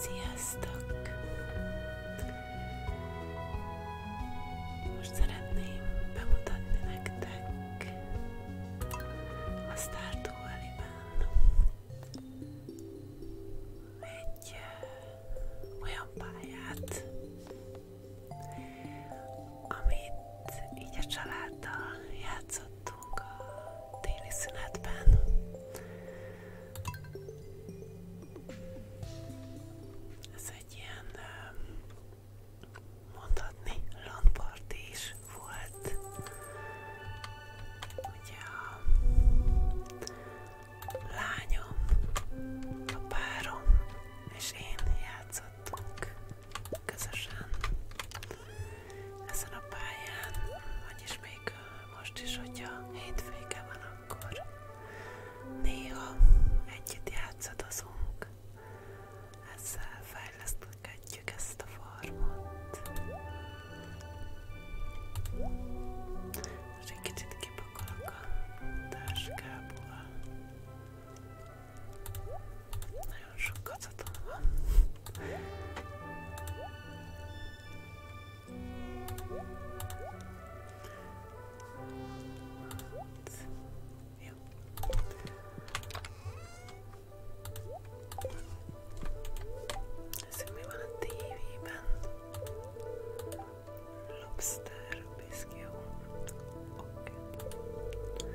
Sziasztok! Most szeretném bemutatni nektek a Stardew Valley-ben egy olyan pályát, amit így a családdal játszottunk a téli szünetben. Ez egy ilyen um, mondhatni landparti is volt. Ugye a lányom, a párom és én játszottunk közösen ezen a pályán, vagyis még most is, hogyha hétvége van, akkor néha együtt játszadozunk, ezzel fejleszthetjük ezt a formot. Most egy kicsit kipakolok a táskából. Ne şu katıdan. yeah. TV band. Lobster. röpészkió. Oké. Okay.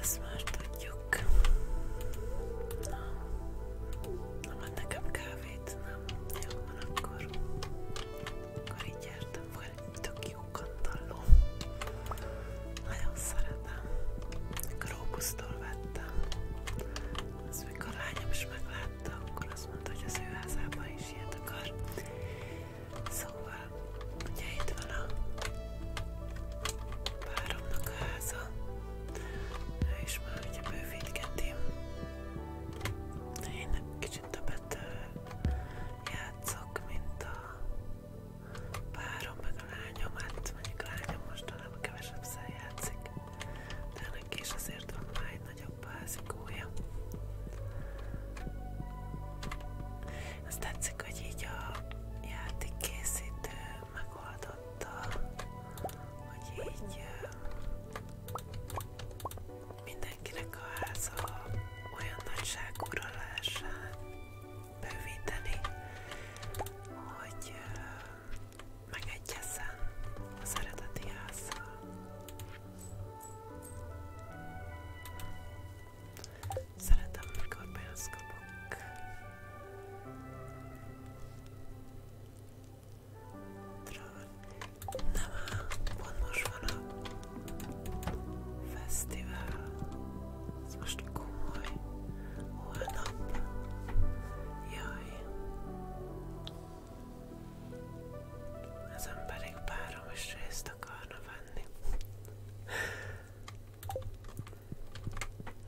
Ezt már tudjuk. Na. Nem ad nekem kávét? Nem. Jó van akkor. Akkor így jártam fel egy tök jó kantalló. Nagyon szeretem. Mikor Róbusztól vettem. Ezt mikor lányom is meglátta, akkor azt mondta, hogy az ő házában is ilyet akar. Szóval, ugye itt van a páromnak a háza, ő is már ugye bővítketi. Én kicsit többet játszok, mint a párom, meg a lányom, hát mondjuk a lányom mostanában kevesebb szel játszik, de neki is azért van már egy nagyobb házi markója. Azt tetszik, hogy így a játékkészítő megoldotta, hogy így mindenkinek a háza olyan nagyságúra lehessen bővíteni, hogy megegyezzen az eredeti házzal. Szeretem, amikor pénzt kapok. Nem áll, pont van a fesztivál. Ez most komoly. Holnap. Jaj. Ezen pedig párom is részt akarna venni venni.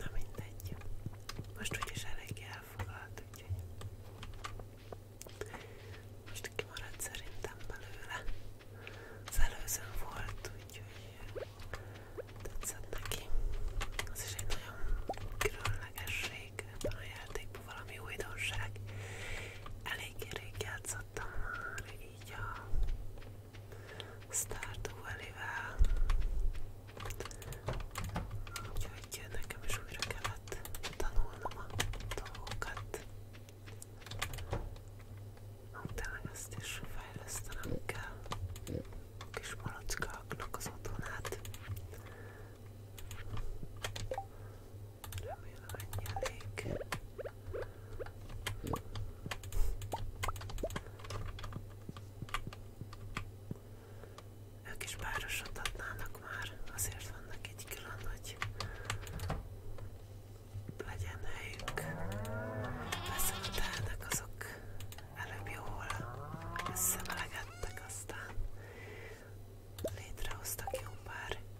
Na mindegy. Most úgyis elég elfoglalt, úgyhogy most kimaradt szerintem belőle. Az előzőn volt, úgyhogy tetszett neki. Az is egy nagyon különlegesség ebben a játékban, valami újdonság. Elég rég játszom játszottam már így a Stardew Valley-vel úgyhogy nekem is újra kellett tanulnom a dolgokat tényleg ezt is fejlesztenem kell kis malackáknak az otthonát Remélem ennyi elég. Ők is párosot adnának már, azért vannak így külön, hogy legyen helyük. Persze a telnek azok előbb jól összemelegettek, aztán létrehoztak jó pár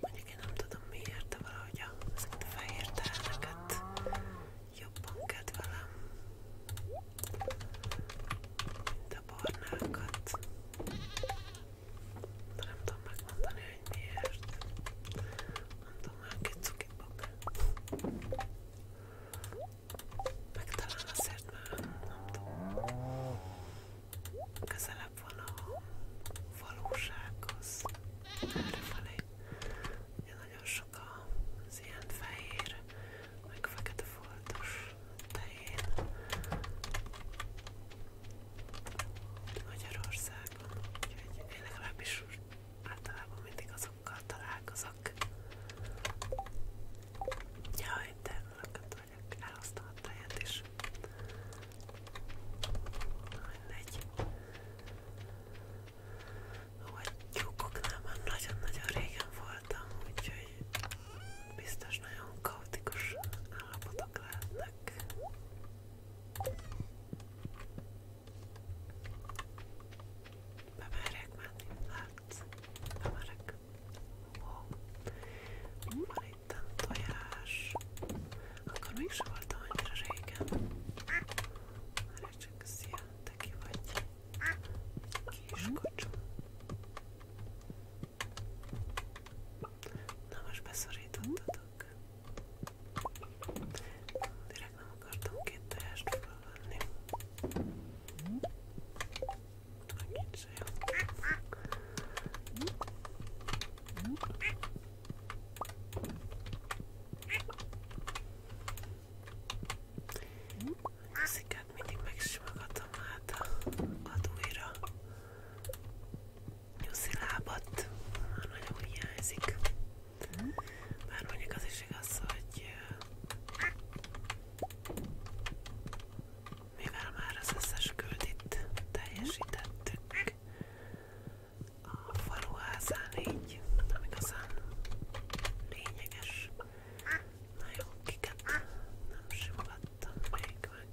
Mondjuk én nem tudom miért, de valahogy ezeket a fehér teheneket jobban kedvelem, mint a barnákat de nem tudom megmondani, hogy miért. Nem tudom, olyan kicukibok. Meg talán azért, mert nem tudom, közelebb van a valósághoz. Errefelé. Ugye nagyon sok az ilyen fehér, meg fekete foltos tehén. Magyarországon, úgyhogy én legalábbis általában mindig azokkal találkozok. Jaj, de lakat vagyok, elhoztam a táját is. Mindegy. Ahogy tyúkoknál már nagyon-nagyon régen voltam, úgyhogy biztos nagyon kaotikus állapotok lehetnek. Bemerek menni, látsz? Hát, Bemerek. Wow. Van itt a tojás. Akkor még sem voltam annyira régen. Már csak szia, te ki vagy? Kis mhm. kocsó. Na most beszorítottatok. Direkt nem akartam két teljest fölvenni. Annyit se jó. A sziket mindig megsimogatom át a, a dújra. Nyuszi lábat, már nagyon hiányzik. Bár mondjuk az is igaz, hogy mivel már az összes küldit teljesítettük a faluházán így nem igazán lényeges. Na jó, kiket nem simogattam még meg.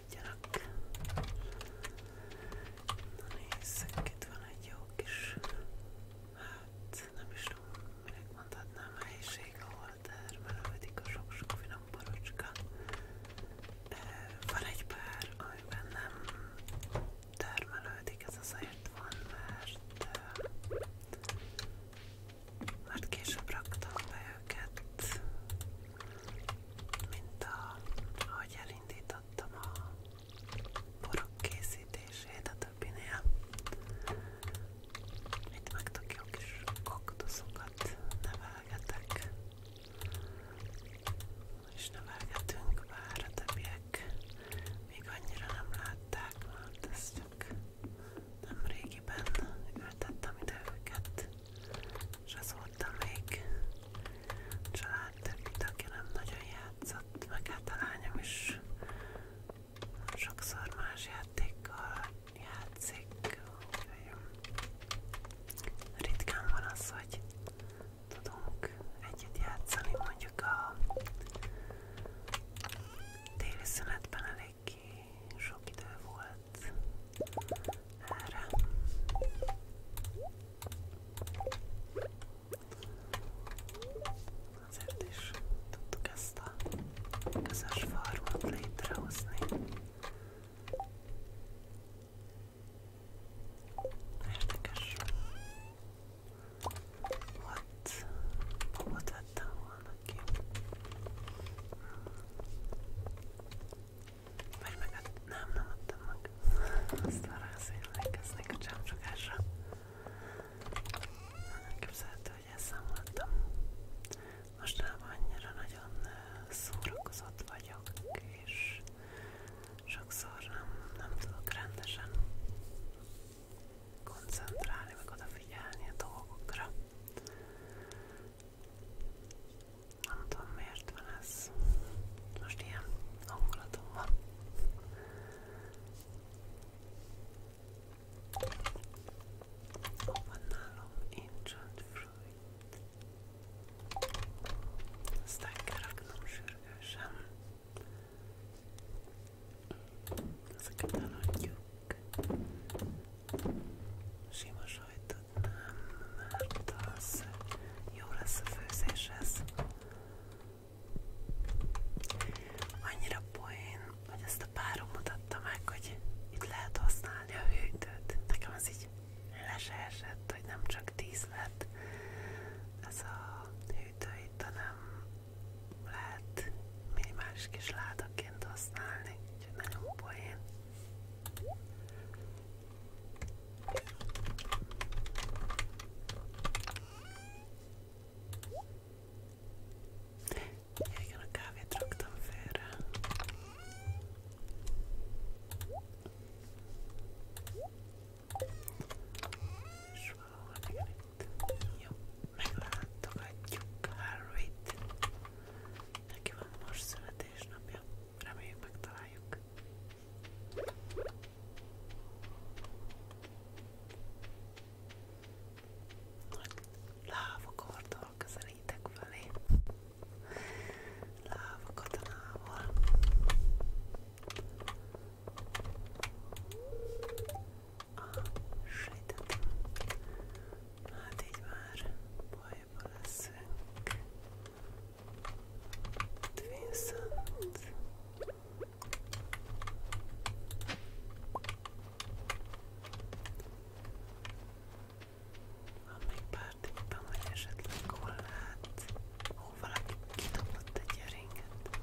maradjanak. Na nézzük, itt van egy jó kis, hát nem is tudom, minek mondhatnám, helyiség, ahol termelődik a sok-sok finom borocska. Van egy pár, amiben nem termelődik, ez azért van, mert mert később raktam be őket, mint a, ahogy elindítottam a borok készítését a többinél. Itt meg tök jó kis kaktuszokat nevelgetek. És nevelgetünk, bár a többiek még annyira nem látták, mert ez csak nem régiben ültettem ide őket és azóta még család többi tagja nem nagyon játszott, meg hát a lányom is sokszor más játékkal játszik, úgyhogy ritkán van az, hogy tudunk együtt játszani, mondjuk a téli szünetben elég sok idő volt, át erre. Azért is tudtuk ezt a közös farmot létrehozni. Érdekes. Volt, babot vettem volna ki. Vagy meg hát nem, nem adtam meg. Azt arra az emlékeznék a csámcsogásra. Nem képzelhető, hogy elszámoltam. Mostanában annyira nagyon szórakozott vagyok, és sokszor nem, nem tudok rendesen koncentrálni, meg odafigyelni a dolgokra. Nem tudom miért van ez. Most ilyen hangulatom van. Hol van nálam Ancient Fruit? Ezt el kell raknom sürgősen. Ezeket eladjuk. Sima sajtot nem, mert az jó lesz a főzéshez. Annyira poén, hogy ezt a párom mutatta meg, hogy itt lehet használni a hűtőt. Nekem az így le se esett, hogy nem csak 10 lett ez a hűtő itt, hanem lehet minimális kis ládaként használni, úgyhogy nagyon poén. Igen, a kávét raktam félre. És valahol igen itt. Jó, meglátogatjuk Harryt. Neki van most születésnapja reméljük megtaláljuk. Nagy lávakorddal közelítek felé. Láva katonával. Ah, sejtettem. Hát így már baj bajba leszünk. Viszont... Van még pár tippem, hogy esetleg hol lehet, hol valaki kidobott egy ringet.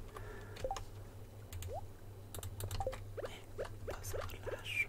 Még pazarlás.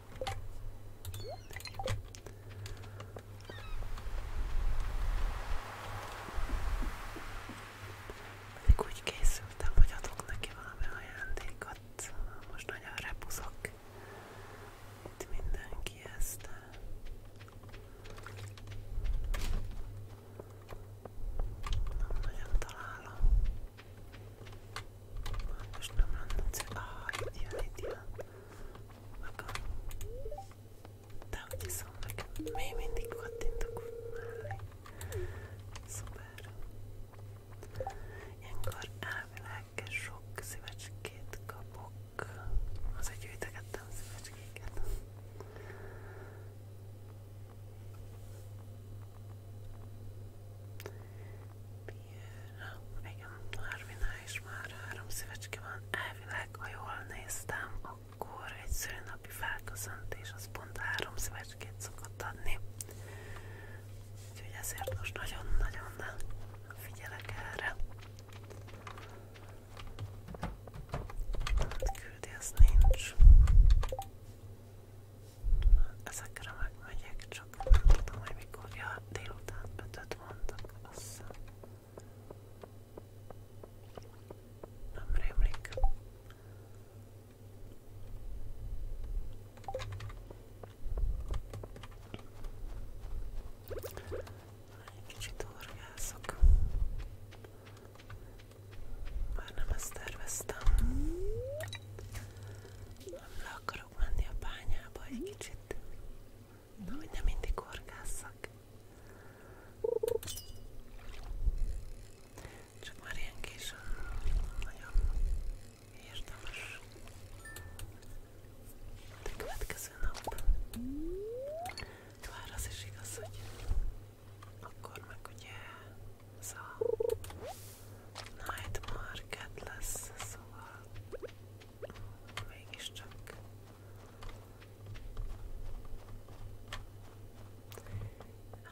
Még úgy készültem, hogy adok neki valami ajándékot. Most nagyon repuzok itt mindenki ezt. Nem nagyon találom. Most nem mondom, hogy ah, itt jön, itt jön. Magam. De hogy hiszem nekem, még mindig kattintok mellé. Szuper. Ilyenkor elvileg sok szívecskét kapok. Az egy gyűjtögettem szívecskéket. Igen, Larvinál is már három szívecske van. Elvileg, ha jól néztem, akkor egy szülnapi felköszöntés az pont három szívecskét szokott adni. Úgyhogy ezért most nagyon-nagyon figyelek erre. Hát küldi, az nincs. Ezekre megmegyek, csak nem tudom, hogy mikor. Ja, délután ötöt mondtak, azt hiszem. Nem rémlik. Egy kicsit orgászok. Már nem ezt terveztem. Nem le akarok menni a bányába egy kicsit, Na, hogy nem mindig horgásszak. Csak már ilyen későn nagyon érdemes. De következő nap. Bár az is igaz, hogy akkor meg ugye ez a Night Market lesz, szóval mégiscsak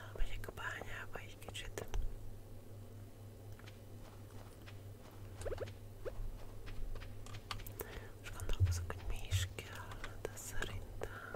elmegyek a bányába egy kicsit. Most gondolkozok, hogy mi is kell, de szerintem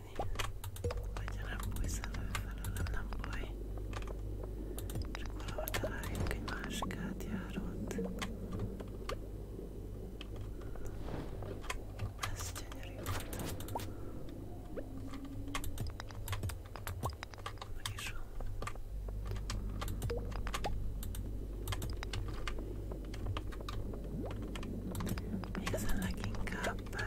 bújni. Hogyha nem bújsz elő felőlem, nem búj. Csak valahol találjuk egy másik átjárót. Ez gyönyörű volt. Meg is van. Igazán leginkább eh,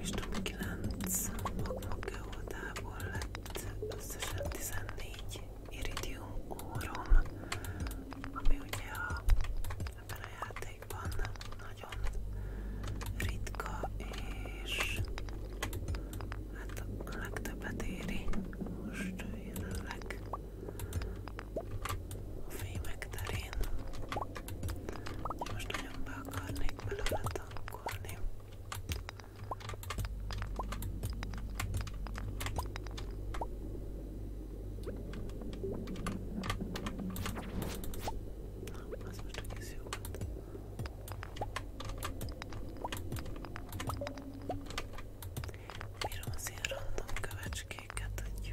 és tudom 9 magmagő oldából lett összesen 14 iridium órom, ami ugye a, ebben a játékban nagyon ritka és hát a legtöbbet éri most jelenleg a fémek terén most nagyon be akarnék belőle tankolni. Na, az most egész jó volt. Bírom az ilyen random kövecskéket, hogy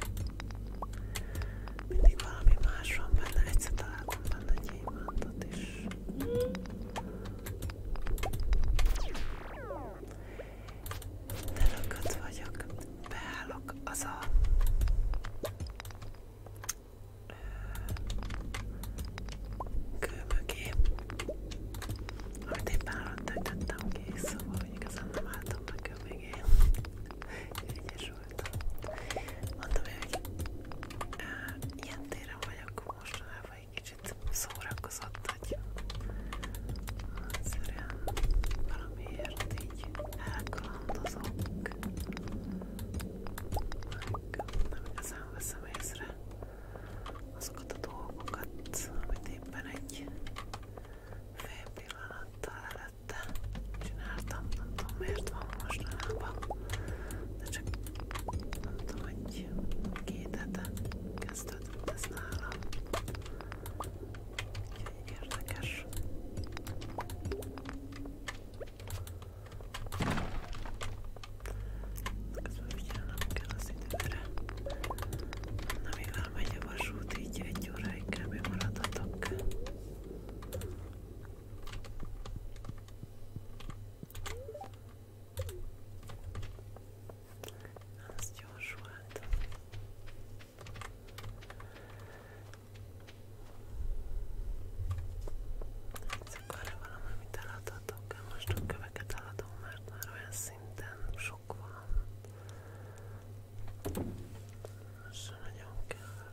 mindig valami más van benne, egyszer találtam benne egy gyémántot is. Telökött vagyok, beállok, az a kő mögé, amit éppen alatt töjtettem ki, szóval igazán nem álltam a kő mögé. Ügyes sikerült. Mondom, hogy á, eh, ilyen téren vagyok mostanában egy kicsit szórakozott, hogy egyszerűen valamiért így elkalandozok, meg nem igazán veszem észre azokat a dolgokat, amit éppen egy fél pillanattal előtte csináltam, nem tudom miért van mostanában, de csak nem tudom, hogy két hete kezdődött ez nálam. Úgyhogy érdekes. Közben figyelnem kell az időre. Na mivel megy a vasút, így egy óráig kb. maradhatok. Azt gyorsult. Ezek arra valamit eladhatok, most a köveket eladom, mert már olyan szinten sok van. Most nagyon kell.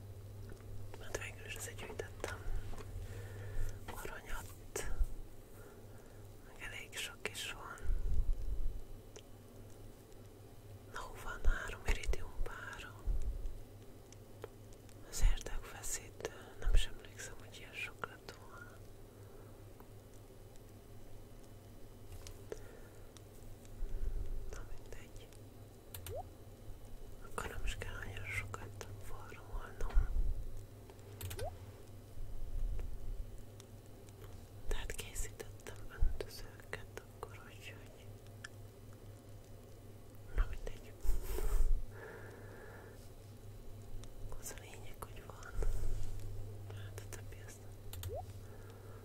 Hát végül is azért gyűjtettem aranyat, meg elég sok is van. Na, van három iridium pára. Az érdekfeszítő, nem sem emlékszem, hogy ilyen sok lett volna. Na mindegy. Akkor nem is kell nagyon sokat forrolnom. Tehát készítettem öntözőket akkor, hogy na mindegy. Az a lényeg, hogy van. Hát a többi azt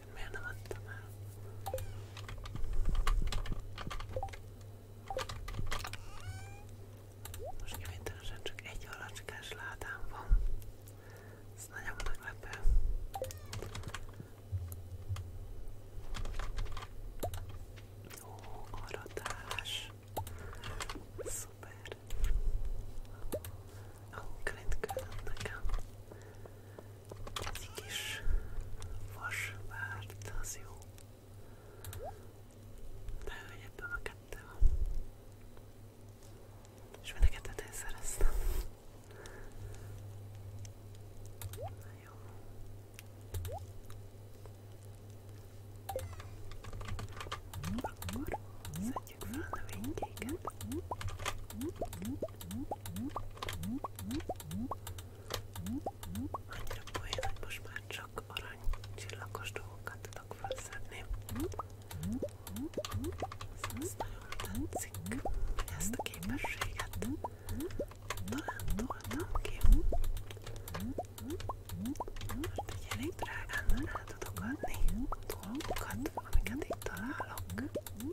ezeket miért nem adtam el? Most kivételesen csak egy halacskás ládám van. Ez nagyon meglepő. Ó, aratás. Szuper. Ó, oh, nekem. Ez egy kis vasvárt, az jó. De hogy ebben a kettő van. És mind a kettőt én szereztem. Na jó. Akkor szedjük fel a növénykéket. Annyira poén, hogy most már csak arany csillagos dolgokat tudok felszedni. Ez nagyon tetszik, hogy ezt a képességet talán toltam ki. Mert így elég drágán el tudok adni dolgokat, amiket itt találok.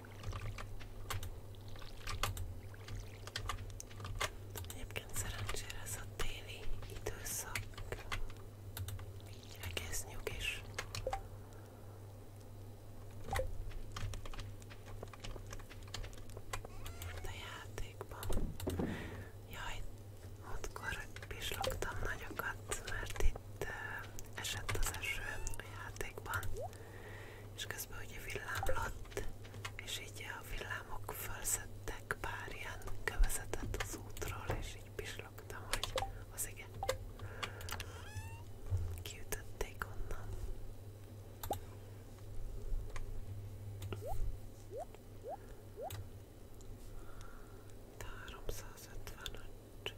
Egyébként szerencsére ez a téli időszak, így egész nyugis. Mint a játékban. Jaj, múltkor pislogtam nagyokat, mert itt itt esett az eső a játékban, és közben ugye villámlott, és így a villámok felszettek pár ilyen kövezetet az útról, és így pislogtam, hogy az igen, kiütötték onnan. De 355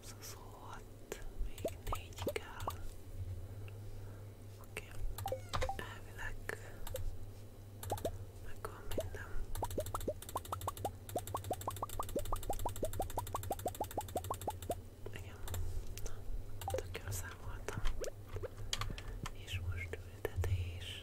26, még 4 kell. Oké, okay. elvileg megvan minden. Igen, na, tök jól számoltam. És most ültetés.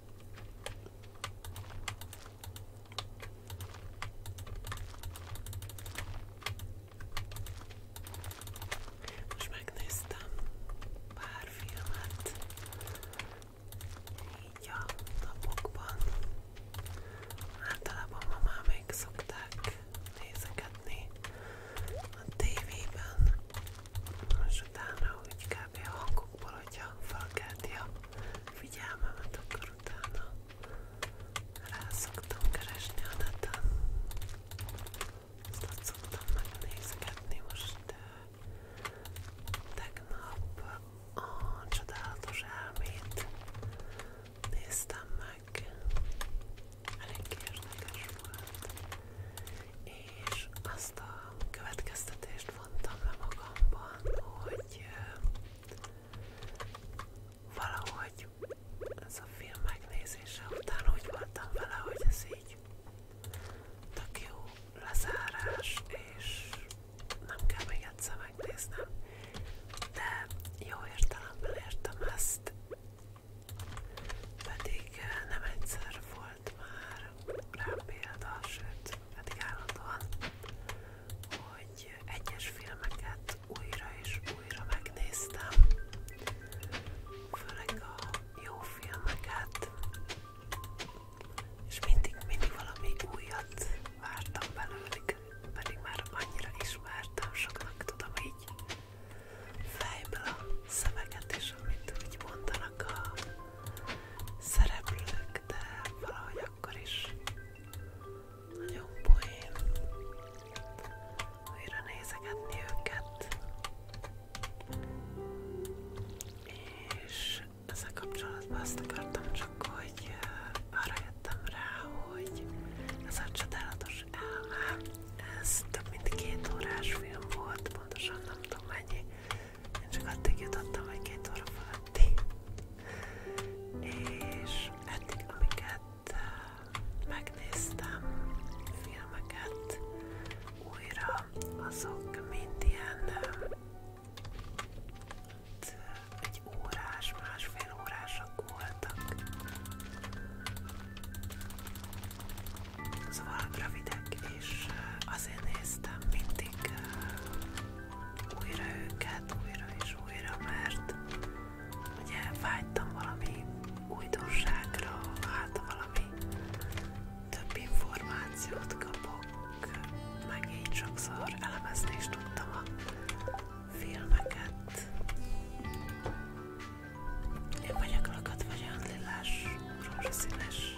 Most megnéztem pár filmet így a napokban. Általában ma már még szokták nézegetni a tévében, és utána úgy kb. a hangokból, hogyha felkelti a figyelmemet, akkor utána rá szoktam keresni a neten. Azt ott szoktam megnézgetni most tegnap a csodálatos elmét néztem meg. Elég érdekes volt és azt a következtetést vontam le magamban, hogy valahogy ez a film megnézése után úgy voltam vele, hogy ez így tök jó lezárás, és nem kell még egyszer megnéznem, de jó értelemben értem ezt, pedig nem egyszer fordul volt már rá példa, sőt, pedig állandóan, hogy egyes filmeket újra és újra megnéztem, főleg a jó filmeket, és mindig, mindig valami újat vártam belőlük, pedig már annyira ismertem, soknak tudom így fejből a szemeket és amit úgy mondanak a szereplők, de valahogy akkor is nagyon poén újra nézegetni őket. És ezzel kapcsolatban azt akartam csak, hogy arra jöttem rá, hogy ez a csodálatos elme, ez több mint két órás film volt, pontosan nem tudom mennyi, én csak addig jutottam, hogy két óra fölötti. És eddig, amiket eh, megnéztem, filmeket újra, azok mind ilyen eh, hát, egy órás, másfél órások voltak. Szóval rövidek, és eh, azért néztem mindig eh, újra őket, újra és újra, mert ugye vágytam valami újdonságra, hát valami több információt kapok, meg így sokszor elemezni is tudtam a filmeket. Én vagyok lakat, vagy olyan lilás, rózsaszínes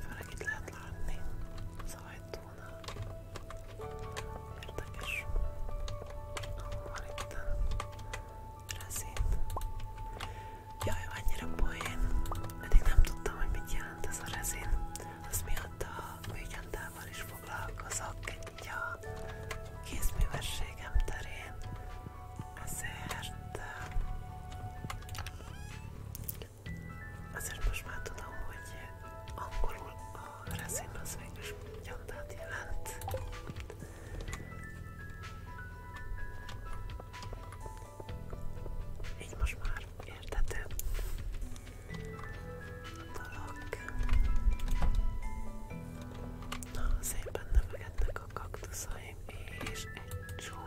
Főleg itt lehet látni az ajtónál. Érdekes. Ahol van itt a rezin. Jaj, annyira poén. Eddig nem tudtam, hogy mit jelent ez a rezin. Az miatt a műgyantával is foglalkozok egy a kézművességem terén. Ezért Azért most már tudom, hogy angolul a rezin az végül is gyantát jelent. Így most már értető dolog. Na, szépen növekednek a kaktuszaim, és egy csomó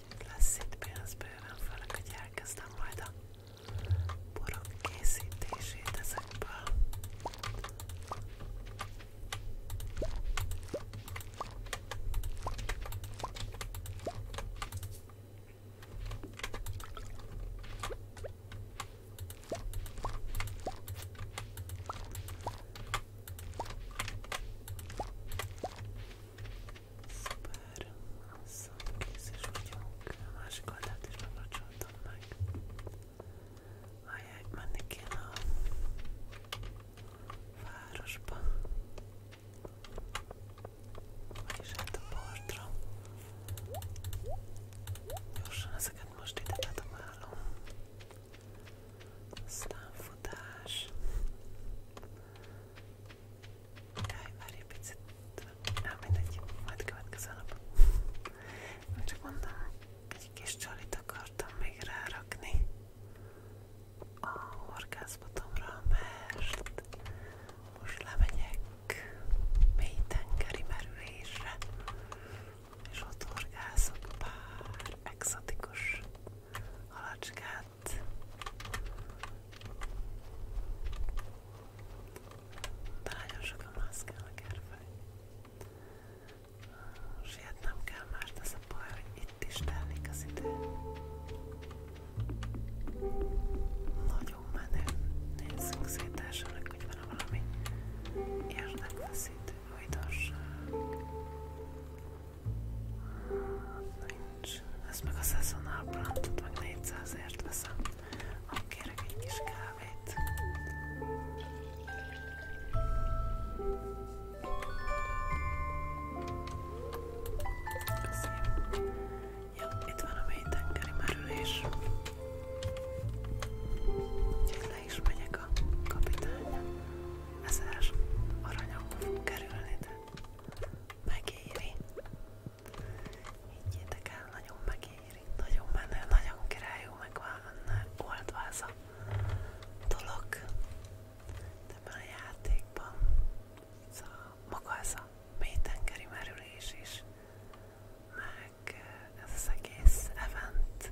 lesz itt pénz bőven, főleg, hogy elkezdem majd a borok készítését ezekből. Szuper, asszony, kész is vagyunk. A másik oldalt is megvacsoltam meg. Ajaj, menni kéne a városba. Vagyis hát a partra. Gyorsan ezeket most ide bedomálom. Aztán futás. Jaj, várj Nem mindegy, majd következő egy kis csalit akartam még a horgászbotomra, mert most lemegyek mély tengeri merülésre, és ott horgászok pár exotikus halacskát, de nagyon sokan maszkálnak erre Sietnem kell, mert ez a baj, hogy itt is tellik az idő. Nagyon menő. Nézzünk szét elsőnek, hogy van valami érdekfeszítő újdonság. Nincs. Ezt a szezonál brantot meg 400ért veszem. Ah, kérek egy kis Köszönöm. Ja, itt van a mély tengeri merülés. Úgyhogy le a kapitány. Ezer aranyokba fog kerülni, de Megéri. Higgyétek el, nagyon megéri. Nagyon menő, nagyon királyú, meg oldváza dolog ebben a játékban. Szóval maga ez a mélytengeri merülés is, meg eh, ez az egész event.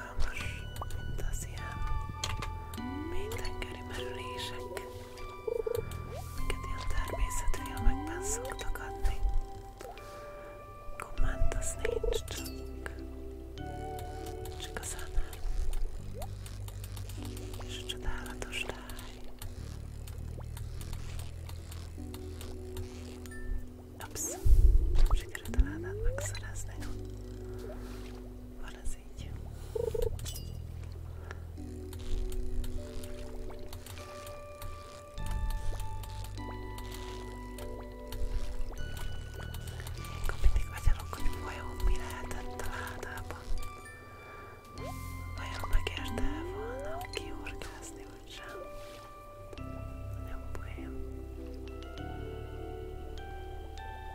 izgalmas, mint az ilyen mélytengeri merülések, amiket ilyen természeti filmekben szoktak adni. Komment az nincs, csak, csak a zene és a csodálatos táj. Ups, nem sikerült a ládát megszerezni. Van ez ez így. Ilyenkor mindig agyalok, hogy vajon mi lehetett a ládában. Vajon megérte volna kiorgázni, vagy sem? Nagyon poén.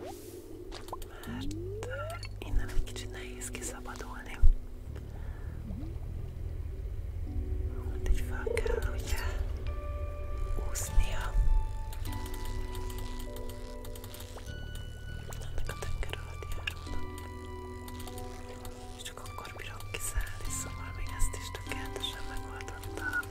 mert hát, innen egy kicsit nehéz kiszabadulni. Hát így fel kell ugye úsznia. Ennek a tenger és csak akkor bírom kiszállni, szóval még ezt is tökéletesen megoldottam.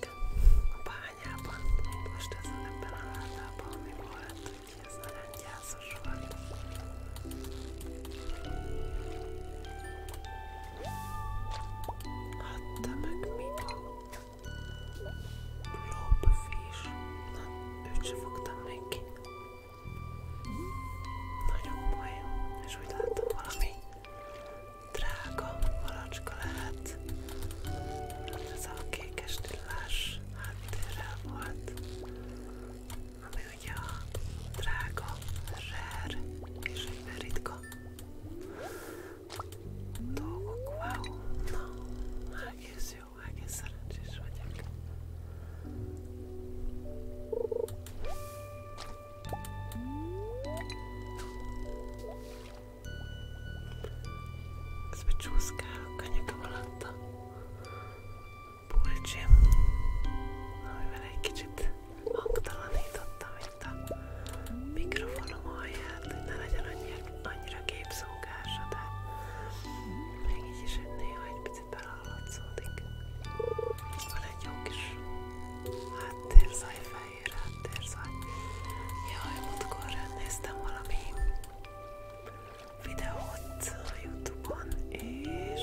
csak a bányában, most ez ebben a látában, ami volt, úgyhogy ez nagyon gyászos volt. Adta hát, meg mit? Lobfish. Na, őt se fogtam még ki. Nagyon poén, és úgy láttam valami drága malacska lehet. Ez a kékes tillás háttérrel volt, ami ugye a drága, rare és egyben ritka dolgok. Wow! Na, egész jó, egész szerencsés vagyok. Közben csúszkálok a nyakam alatt a pulcsim, amivel egy kicsit mikrofonom alját, hogy ne legyen annyira, annyira képszókása, de még így is néha egy picit belehallatszódik. Van egy jó kis fehér háttér, szóval jaj, múltkor néztem valami videót a Youtube-on, és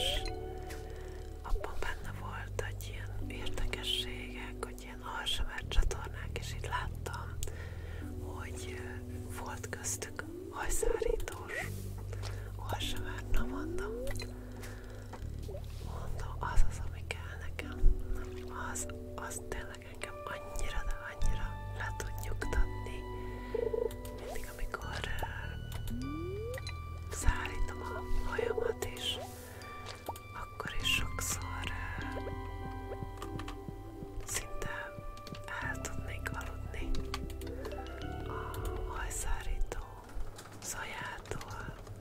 abban benne volt, hogy ilyen érdekességek, hogy ilyen alsavár csatornák, és itt láttam, hogy volt köztük hajszárítós alsavár, na mondom, Mondom, az az, ami kell nekem. Na, az, az tényleg engem annyira, de annyira le tud nyugtatni. Mindig, amikor uh, szállítom a hajamat is, akkor is sokszor uh, szinte el tudnék aludni a hajszárító szajától,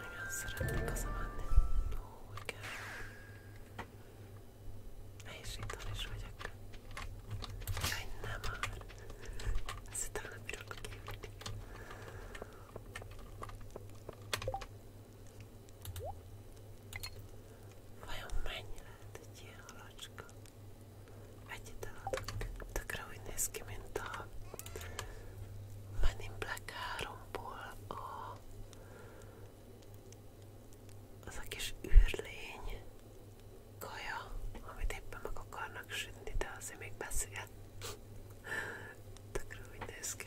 Igen, szeretnék hazamenni. Ó, igen. És itthon is vagyok. Jaj, nem már. Ezt utána bírok kívülni. Vajon mennyi lehet egy ilyen halacska? Egyet eladok. Tökre úgy néz ki, mint a Men in Black 3-ból a az a kis űrlény kaja, amit éppen meg akarnak sütni, de azért még beszél. Tökre úgy néz ki.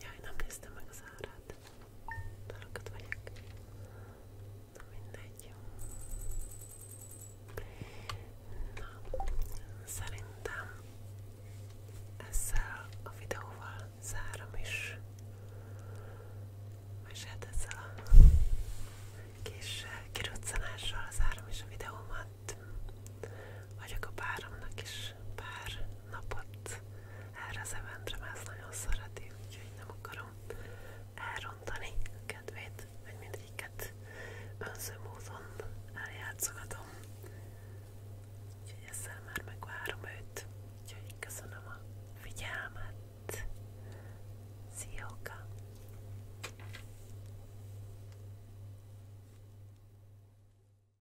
Jaj, nem néztem meg az árát. Talokat vagyok. Na mindegy. Na, szerintem ezzel a videóval zárom is. És hát ezzel a kis eh, kiruccanással zárom is a videómat. Vagyok a páromnak is is pár napot erre az eventre, mert ezt nagyon szereti, úgyhogy nem akarom elrontani a kedvét, hogy mindegyiket önző módon eljátszogatom. Úgyhogy ezzel már megvárom őt. Úgyhogy köszönöm a figyelmet. Szióka!